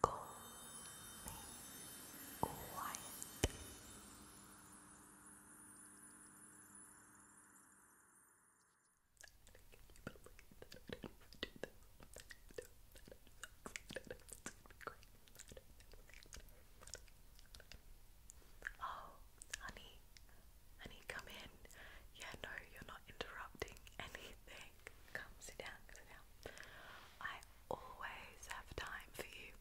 Go quiet. Oh, honey, honey, come in. Yeah, no, you're not interrupting anything come sit down, sit down. I always have time for you.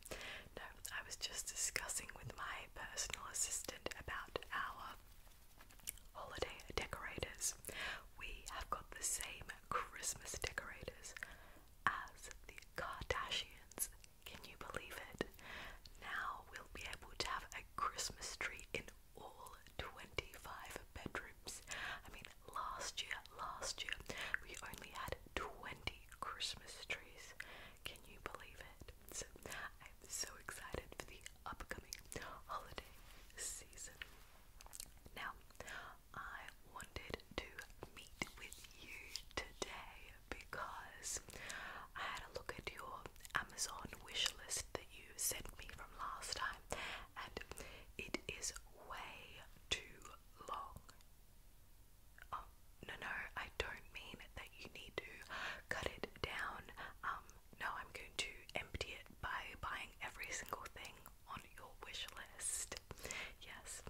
No, I was just discussing with my personal assistant about our holiday decorators. We have got the same Christmas decorators as the Kardashians. Can you believe it? Now we'll be able to have a Christmas tree in all 25 bedrooms. I mean, last year, last year, we only had 20 Christmas trees. Can you believe it? I'm so excited for the upcoming holiday season. Now, I wanted to meet with you today because I had a look at your Amazon wish list that you sent me from last time, and it is way too long. Um, no, no, I don't mean that you need to cut it down. Um, no, I'm going to empty it by buying every single thing on your wish list. Yes.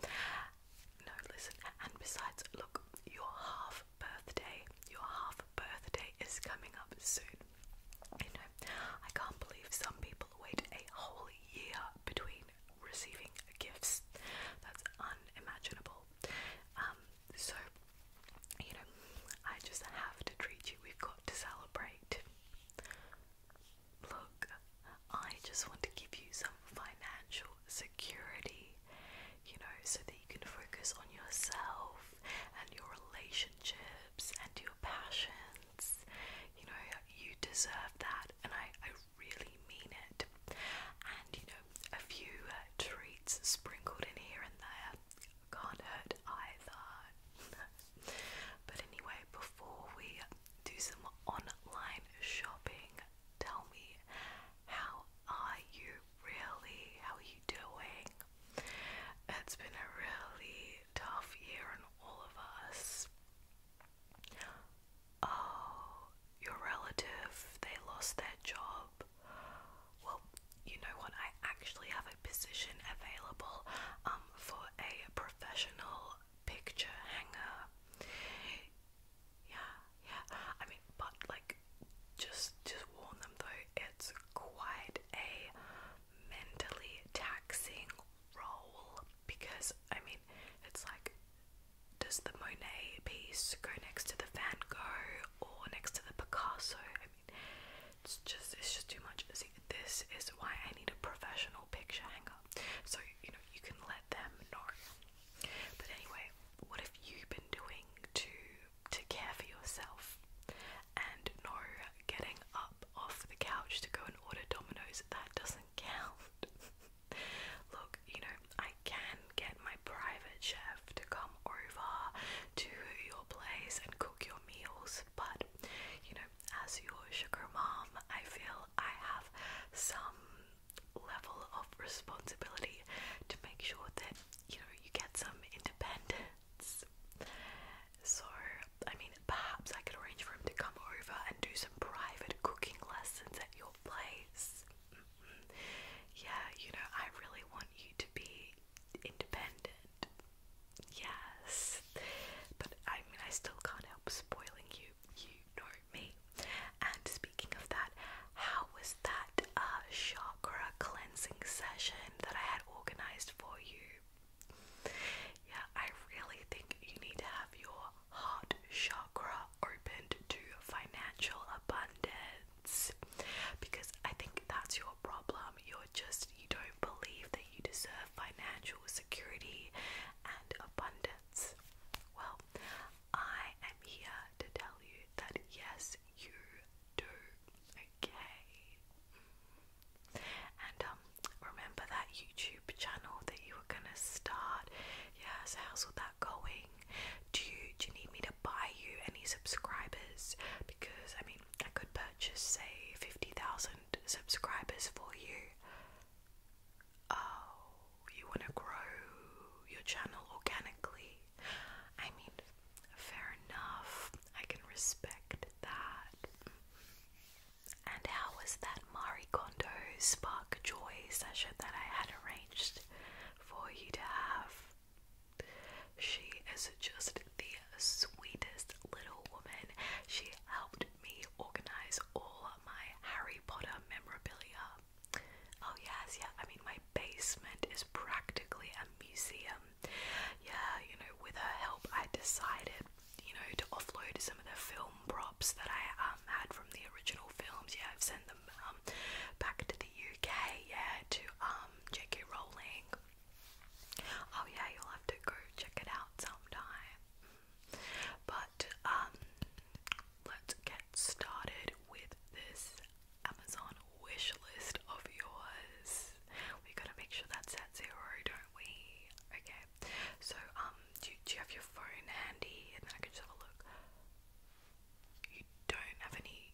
No, listen, and besides, look, your half birthday, your half birthday is coming up soon. You know, I can't believe some people wait a whole year between receiving gifts. That's unimaginable. Um, so, you know, I just have to treat you. We've got to celebrate. Look, I just want to give you some financial security, you know, so that you can focus on yourself and your relationship and your passions. You know, you deserve that, and I, I really mean it. And you know, a few uh, treats sprinkled in here and there can't hurt either. but anyway, before we do some online shopping, tell me how are you really? How are you doing? It's been a really tough year in all of us. Oh, your relative, they lost their job. Well, you know what? I actually have a position available um, for a professional picture hanger. Yeah, yeah. I mean, but like, just just warn them though. It's quite a mentally taxing role because I mean it's like does the Monet piece go next to the Van Gogh or next to the Picasso? I mean it's just it's just too much. this is why I need a professional picture hanger. So you know you can let them know. But anyway, what have you been doing to to care for yourself. And no, getting up off the couch to go and order Domino's, that doesn't count. Look, you know, I can get my private chef to come over to your place and cook your meals, but you know, as your sugar mom, I feel I have some level of responsibility to make sure that you know you get some independence so, I mean, perhaps I could arrange for him to come over and do some private cooking lessons at your place. Mm-hmm. Yeah, you know, I really want you to be independent. Yes. But I mean, I still can't help spoiling you. You know me. And speaking of that, how was that uh, chakra uh, cleansing session that I had organized for you. Yeah, I really think you need to have your heart chakra opened to financial abundance because I think that's your problem. You're just, you don't believe that you deserve financial security and abundance. Well, I am here to tell you that yes, you do. Okay. Mm. And um, remember that YouTube channel that you were gonna start? Yeah. how's all that going? Do do you need me to buy you any subscribers? Because I mean, I could purchase say fifty thousand subscribers for you. Oh, you wanna grow your channel organically? I mean, fair enough. I can respect that. And how was that Marie Kondo Spark Joy session that I had arranged for you to have? She is just the sweetest little woman. She helped me organize all my Harry Potter memorabilia. Oh, yes, yeah. I mean, my basement is practically a museum. Yeah, you know, with her help, I decided, you know, to offload some of the film props that I um, had from the original films. Yeah, I've sent them um, back to the UK, yeah, to um, J.K. Rowling. Oh, yeah, you'll have to go check it out sometime. But, um, let's get started with this Amazon wish list of yours. We gotta make sure that's at zero, don't we? Okay. So um, do you, do you have your phone handy, and then I can just have a look. You don't have any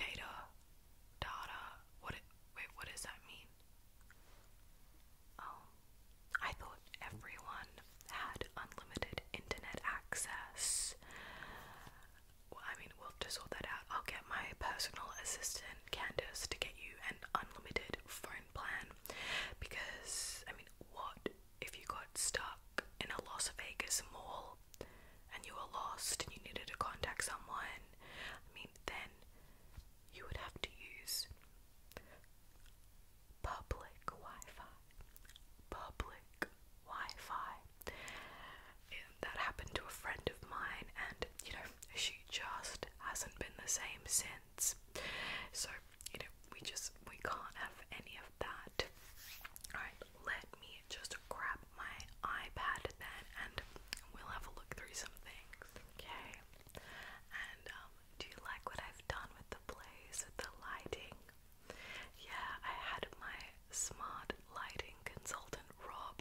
data, data. What? wait, what does that mean? Oh, I thought everyone had unlimited internet access. I mean, we'll just sort that out. I'll get my personal assistant, Candace, to get you an unlimited phone plan because, I mean, what if you got stuck in a Las Vegas mall and you were lost and you needed to contact someone? I mean, then you would have to use public Wi Fi. Public Wi Fi that happened to a friend of mine, and you know, she just hasn't been the same since. So, you know, we just we can't have any of that. Alright, let me just grab my iPad then and we'll have a look through some things. Okay. And um, do you like what I've done with the place, with the lighting? Yeah, I had my smart lighting consultant Rob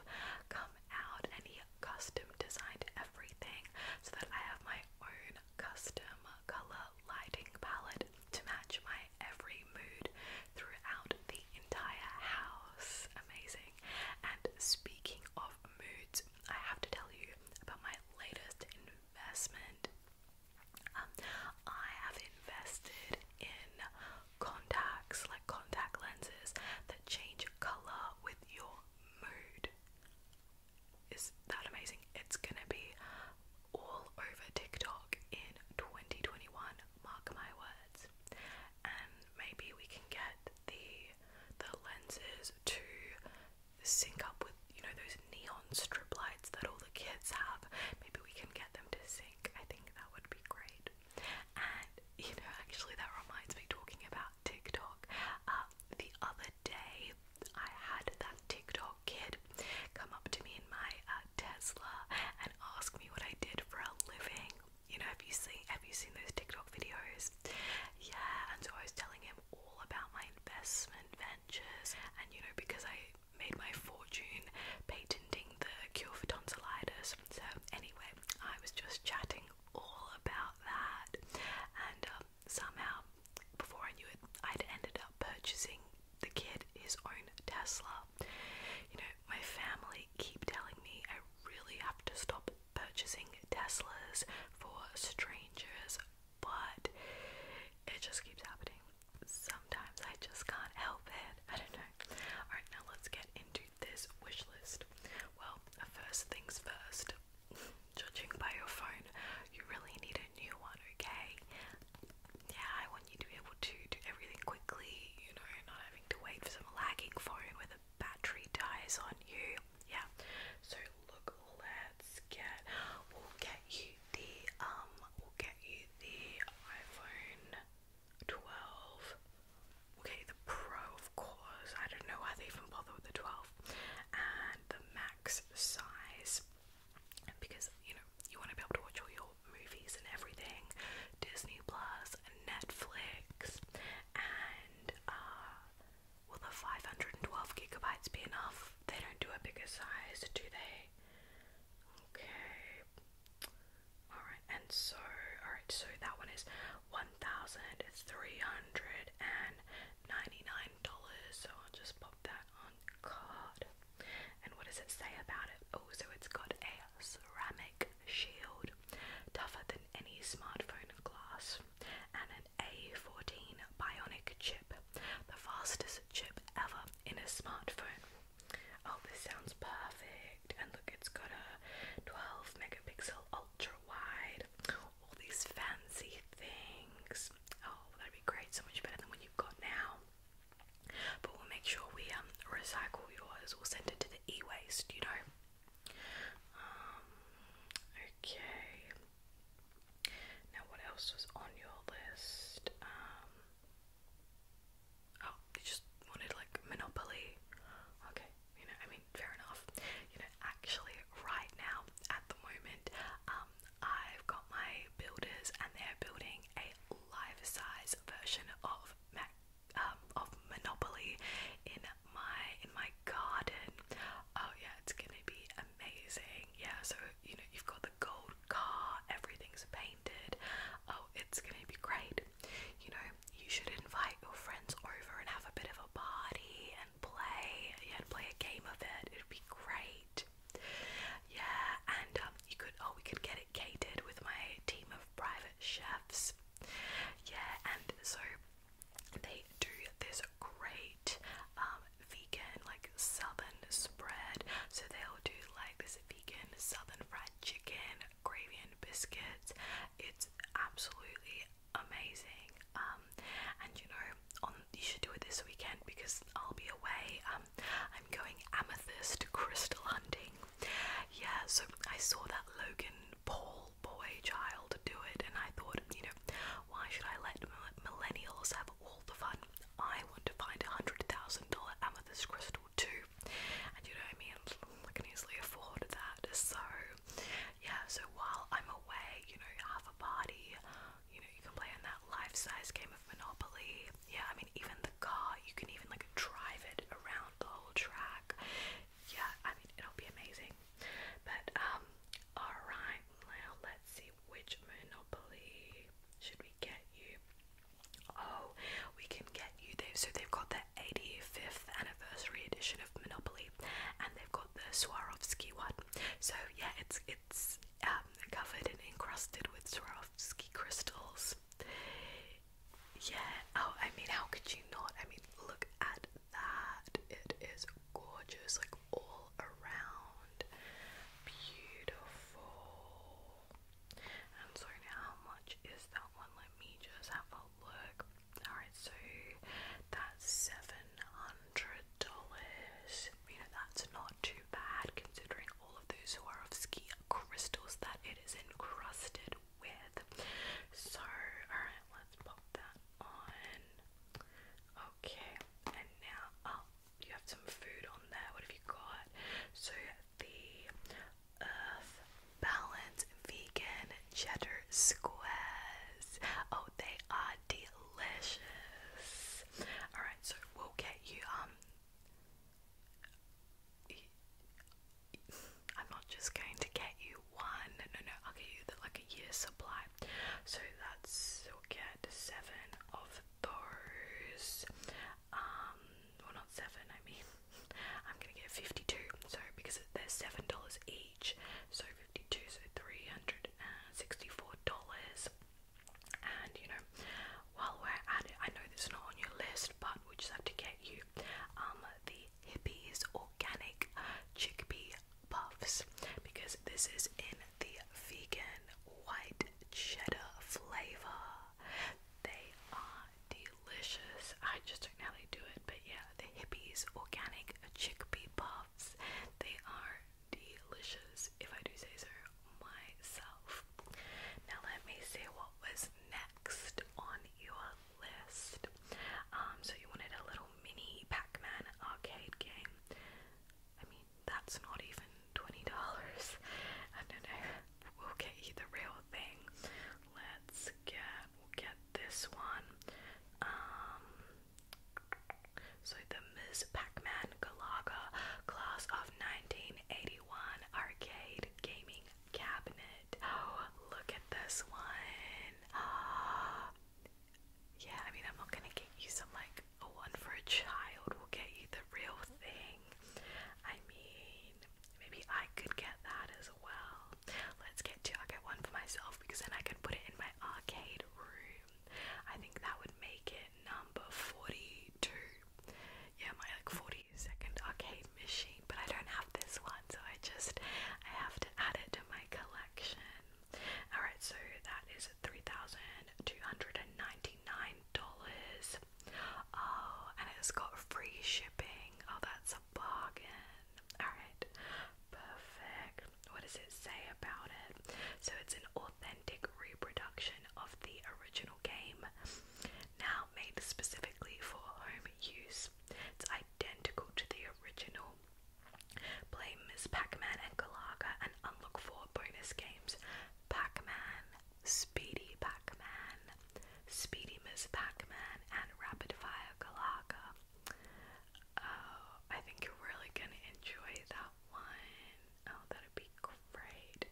come out and he custom designed everything so that I have my own custom color lighting palette to match my every mood throughout the entire house. Amazing. And speaking of moods, I have to tell you about my latest investment. Um, I have invested in contacts, like contact lenses that change color with your mood. Is that amazing? It's gonna be all over TikTok in 2021, mark my words. And maybe we can get the the lenses to sync up with you know those neon strip lights that all the kids have. Maybe we can get them to sync I think that would be great. And you know, actually, that reminds me talking about TikTok. Um, the other day, I had that TikTok kid come up to me in my uh, Tesla and ask me what I did for a living. You know, have you seen have you seen those TikTok videos? Yeah, and so I was telling him all about my investment ventures, and you know, because I made my fortune patenting the cure for tonsillitis. So, anyway, I was just chatting all about that, and um, somehow, before I knew it, I'd ended up purchasing the kid his own Tesla. You know, my family keep telling me I really have to stop purchasing Teslas for strangers, but it just keeps happening sometimes I just can't help it. I don't know. Alright, now let's get into this wish list. Well, first things first, judging by your phone, you really need a new one, okay? Yeah, I want you to be able to do everything quickly, you know, you're not having to wait for some lagging phone where the battery dies on you. Yeah. So look, let's get we'll get you the um will get you the iPhone 12. we the Pro of course. I don't know why they even bother with the 12 and the max size because you know you want to be able to watch all your movies and everything. Disney and Netflix and uh, will the 512 gigabytes be enough? They don't do a bigger size, do they? Okay. Alright, and so, alright, so that one is $1,399. So I'll just pop that on card. And what does it say about it? Oh, so it's got a ceramic shield, tougher than any smartphone glass, and an A14 bionic chip the fastest chip ever in a smartphone. Oh, this sounds perfect! And look, it's got a 12 megapixel ultra wide, all these fancy things. Oh, that'd be great, so much better than what you've got now. But we'll make sure we um, recycle yours, we'll send it to the e waste, you know. Um, okay, now, what else was on your list? Um, oh, you just wanted like Monopoly. Okay, you know, I mean, fair enough. You know, actually, right now at the moment, um, I've got my builders, and they're building a life-size version of Mac. Um, of Monopoly in my in my garden. Oh yeah, it's gonna be amazing. Yeah, so you know you've got gold car, everything's painted. Oh, it's gonna be great. You know, you should invite your friends over and have a bit of a party and play. Yeah, play a game of it. It'd be great. Yeah, and um, you could. Oh, we could get it catered with my team of private chefs. Yeah, and so they do this great um, vegan like southern spread. So they'll do like this vegan southern fried chicken, gravy and biscuits. It's absolutely amazing. Um, and you know, on you should do it this weekend because I'll be away. Um, I'm going amethyst crystal hunting. Yeah, so I saw that Logan Paul boy child do it and I thought, you know, why should I let millennials have all the fun. I want to find a hundred thousand dollar amethyst crystal too, and you know I mean I can easily afford that. So yeah, so while I'm away, you know, have a party. You know, you can play in that life-size game of Monopoly. Yeah, I mean even the car, you can even like drive it around the whole track. Yeah, I mean it'll be amazing. But um, all right, now let's see which Monopoly should we get you. Oh, we can get you. they so they've got the 85th anniversary edition of Monopoly, and they've got the Swarovski one. So yeah, it's it's um, covered and encrusted with Swarovski crystals. Yeah. Oh, I mean, how could you not? I mean, look at that. It is gorgeous, like all around. Beautiful. And so now how much is that one? Let me just have a look. Alright, so that's seven hundred dollars. You know that's not too bad considering all of those Swarovski crystals that it is encrusted with. So alright, let's pop that on. Okay, and now oh, you have some food on there. What have you got? So the Earth Balance Vegan Cheddar Squares. Oh, they are delicious. All right, so we'll get you um. I'm not just going to get you one. No, no, I'll get you the, like Year supply. So that's you'll get seven of those. Um, well, not seven. I mean, I'm gonna get fifty-two. So because they're seven dollars each, so fifty-two, so three hundred and sixty-four dollars. And you know, while we're at it, I know this is not on your list, but we just have to get you um, the Hippies Organic Chickpea puffs because this is in the vegan white cheddar flavor. They are delicious. I just don't know how they do it, but yeah, the hippies organic chickpea puffs. They are delicious, if I do say so myself. Now let me see what was next on your list. Um, so you wanted a little mini Pac-Man arcade game. I mean, that's not even twenty dollars. I don't know. We'll get you the real thing. Let's get get this one. Um, so the Ms. Pac-Man Galaga Class of 1981 Arcade Gaming Cabinet. Oh, look at this one. Yeah, I mean, I'm not gonna get you some like a one for a child, we'll get you the real thing. I mean, maybe I could get that as well. Let's get two, get one for myself because then I can put it in my arcade room. I think that would make it number 42. Yeah, my 42nd arcade machine, but I don't have this one, so I just I have to add it to my collection. Alright, so that is $3,299. and it's got free shipping. Oh, that's a bargain. Alright, perfect. What does it say about it? So it's an authentic reproduction of the original game, now made specifically for home use. It's identical to the original, Play Ms. Pac-Man and Galaga and unlock four bonus games. Pac-Man, Speedy Pac-Man, Speedy Ms. Pac-Man and Rapid Fire Galaga. Oh, I think you're really gonna enjoy that one. Oh, that'd be great.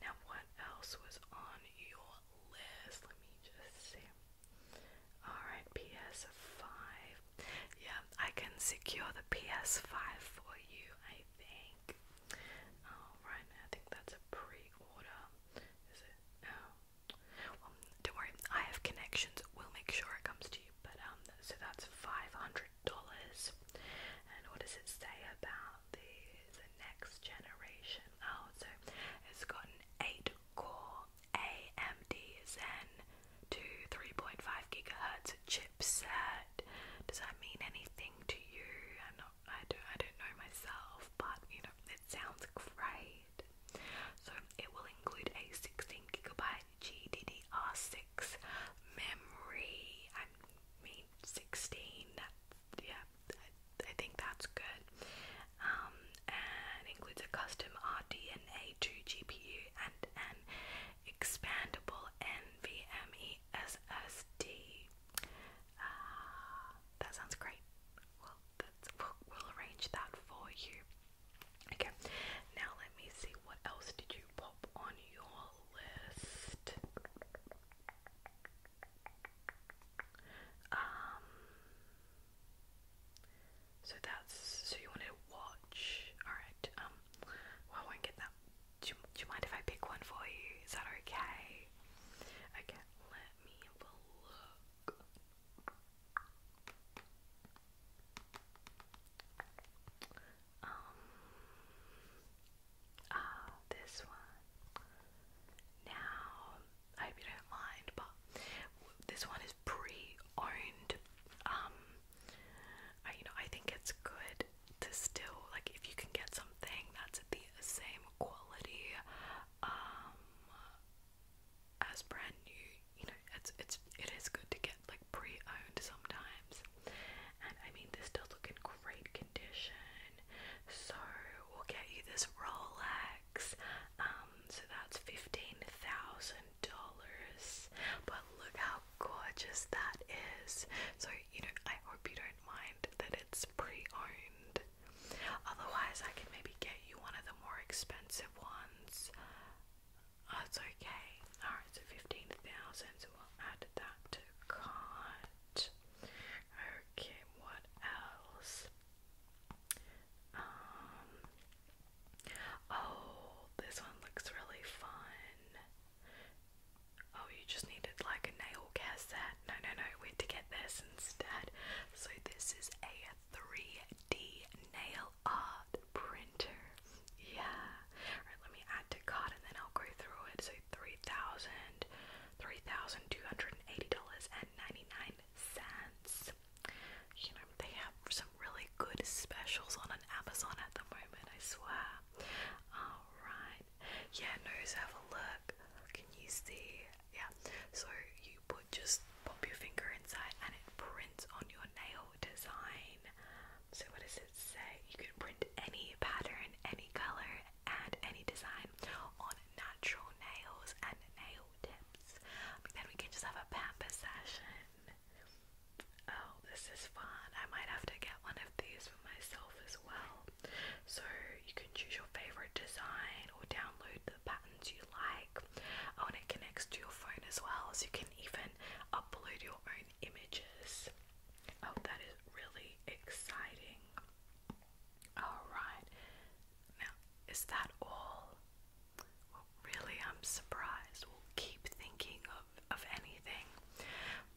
Now what else was on your list? Let me just see. Alright, PS5. Yeah, I can secure the PS5 for you, I think. Alright, I think that's a pre order. Is it? Oh. Well, don't worry, I have connections. We'll make sure it comes to you. But, um, so that's $500. And what does it say about the next generation? Oh, so it's got an 8 Core AMD Zen to 3.5 gigahertz chipset. Does that mean anything to you? i don't, I don't know myself, but you know, it sounds great. So it will include a 16 gigabyte GDDR6 memory. I mean, 16. yeah, I think that's good um, and includes a custom RDNA2 GPU and an expandable NVMe SSD. Ah, that sounds great. Well, that's, we'll, we'll arrange that for you. Okay, now let me see what else did you pop on your list. Um, so that's so you want to watch. Alright, um well I won't get that. Do you, mind if I pick one for you? Is that okay? Okay, let me look. Um Ah, this one. Now I hope you don't mind, but this one is pre-owned. Um, you know, I think it's good to still like if you can get something that's the same quality um, as brand new. You know, it's it's it is good to get like pre-owned sometimes. And I mean, this does look in great condition, so we'll get you this Rolex. Um, so that's fifteen thousand dollars. But look how gorgeous that is. So you know, I hope you don't mind that it's pre-owned. Otherwise, I can maybe get you one of the more expensive ones. Oh, okay. Alright, so fifteen thousand. So we'll add that to cart. Okay, what else? Um, oh, this one looks really fun. Oh, you just needed like a nail care No, no, no, we had to get this instead. So, this is a 3D nail art printer. Yeah. Alright, let me add to cart and then I'll go through it. So, $3,280.99 cents. You know, they have some really good specials on Amazon at the moment, I swear. Alright. Yeah, nose, have a look. Can you see? Yeah. So you put just pop your finger inside and it prints on your nail design. So what does it say? You can print any pattern, any colour and any design on natural nails and nail tips. Then we can just have a pamper session. Oh, this is fun. I might have to get one of these for myself as well. So you can choose your favorite design or download the patterns you like. Oh, and it connects to your phone as well, so you can even upload your own images. Oh, that is really exciting. Alright, now is that all? really, I'm surprised. We'll keep thinking of, of anything,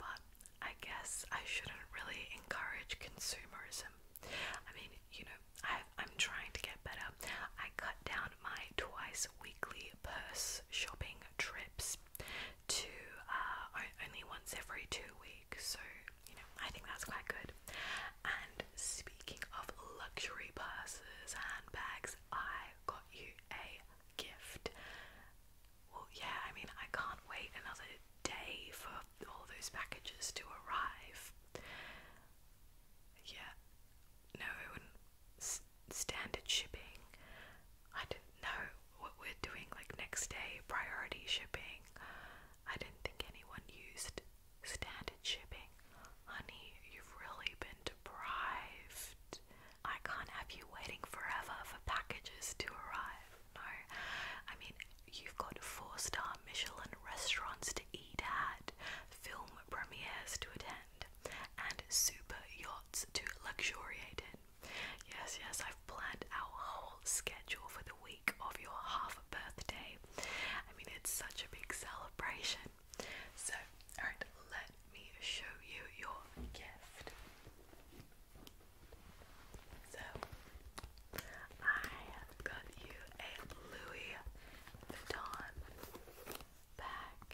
but I guess I shouldn't really encourage consumerism. I mean, you know, I've, I'm trying to get better. I cut down my twice weekly purse shopping trips to uh, only once every two weeks so you know, I think that's quite good. And speaking of luxury purses, handbags, I got you a gift. Well, yeah, I mean, I can't wait another day for all those packages to arrive. Yeah, no, standard shipping. I don't know what we're doing, like next day priority shipping. I didn't think anyone used standard shipping. Honey, you've really been deprived. I can't have you waiting forever for packages to arrive. No, I mean, you've got four star Michelin restaurants to eat at, film premieres to attend, and super yachts to luxuriate in. Yes, yes, I've planned our whole schedule for the week of your half birthday. I mean, it's such a big celebration. So, alright, let me show you your gift. So, I got you a Louis Vuitton bag.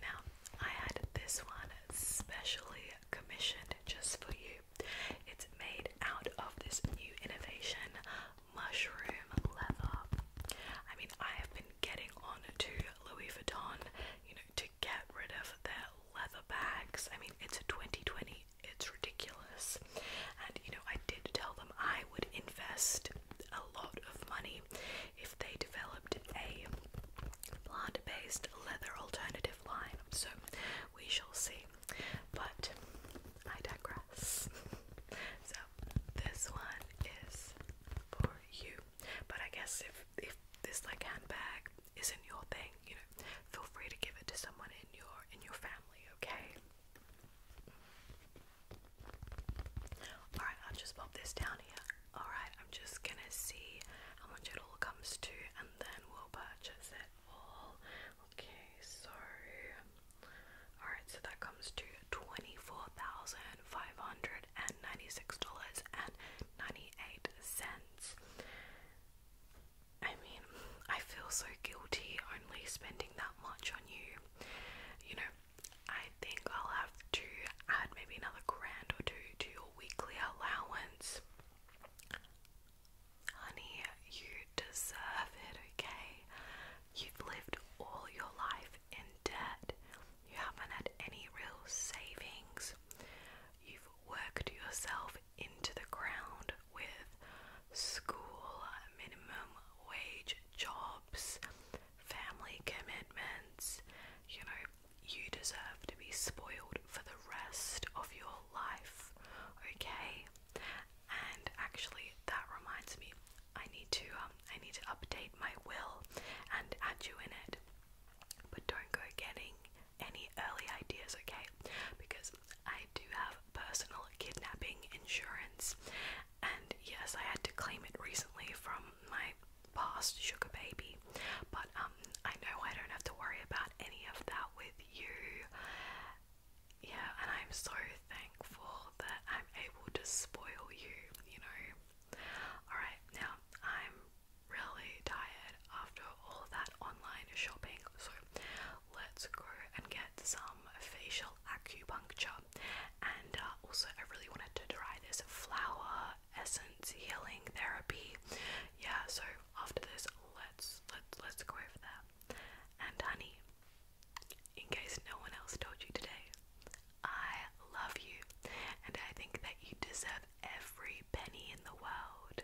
Now, I had this one specially commissioned just for you. It's made out of this new innovation mushroom leather. I mean, I have been getting on to Louis Vuitton, you know, to get rid of their leather bags. I mean, it's a 2020, it's ridiculous. And you know, I did tell them I would invest a lot of money if they developed a plant based leather alternative line. So we shall see. But I digress. so this one is for you. But I guess if if this like handbag isn't your thing, you know, feel free to give it to someone in your in your family, okay? Alright, I'll just pop this down here. Alright, I'm just gonna see how much it all comes to and then we'll purchase it. Okay, so alright, so that comes to twenty-four thousand five hundred and ninety-six dollars and ninety-eight cents. I mean, I feel so guilty only spending that much on you. You know, I think I'll have to add maybe another grand or two to your weekly allowance. Honey, you deserve it, okay? You've lived all your life in debt. You haven't had any real savings. You've worked yourself into the ground with school, minimum wage jobs, family commitments. You know, you deserve to be spoiled for the rest of your life, okay? And actually, that reminds me, I need to um, I need to update my will and add you in it. But don't go getting any early ideas, okay? Because I do have personal kidnapping insurance, and yes, I had to claim it recently from my past sugar baby. But um, I know I don't have to worry about any of that out with you. Yeah, and I'm so thankful that I'm able to spoil you, you know. Alright, now I'm really tired after all that online shopping, so let's go and get some facial acupuncture. And uh, also, I really wanted to try this flower essence healing therapy. Yeah, so after this, let's let's let's go for that. And honey, in case no one else told you today, I love you, and I think that you deserve every penny in the world.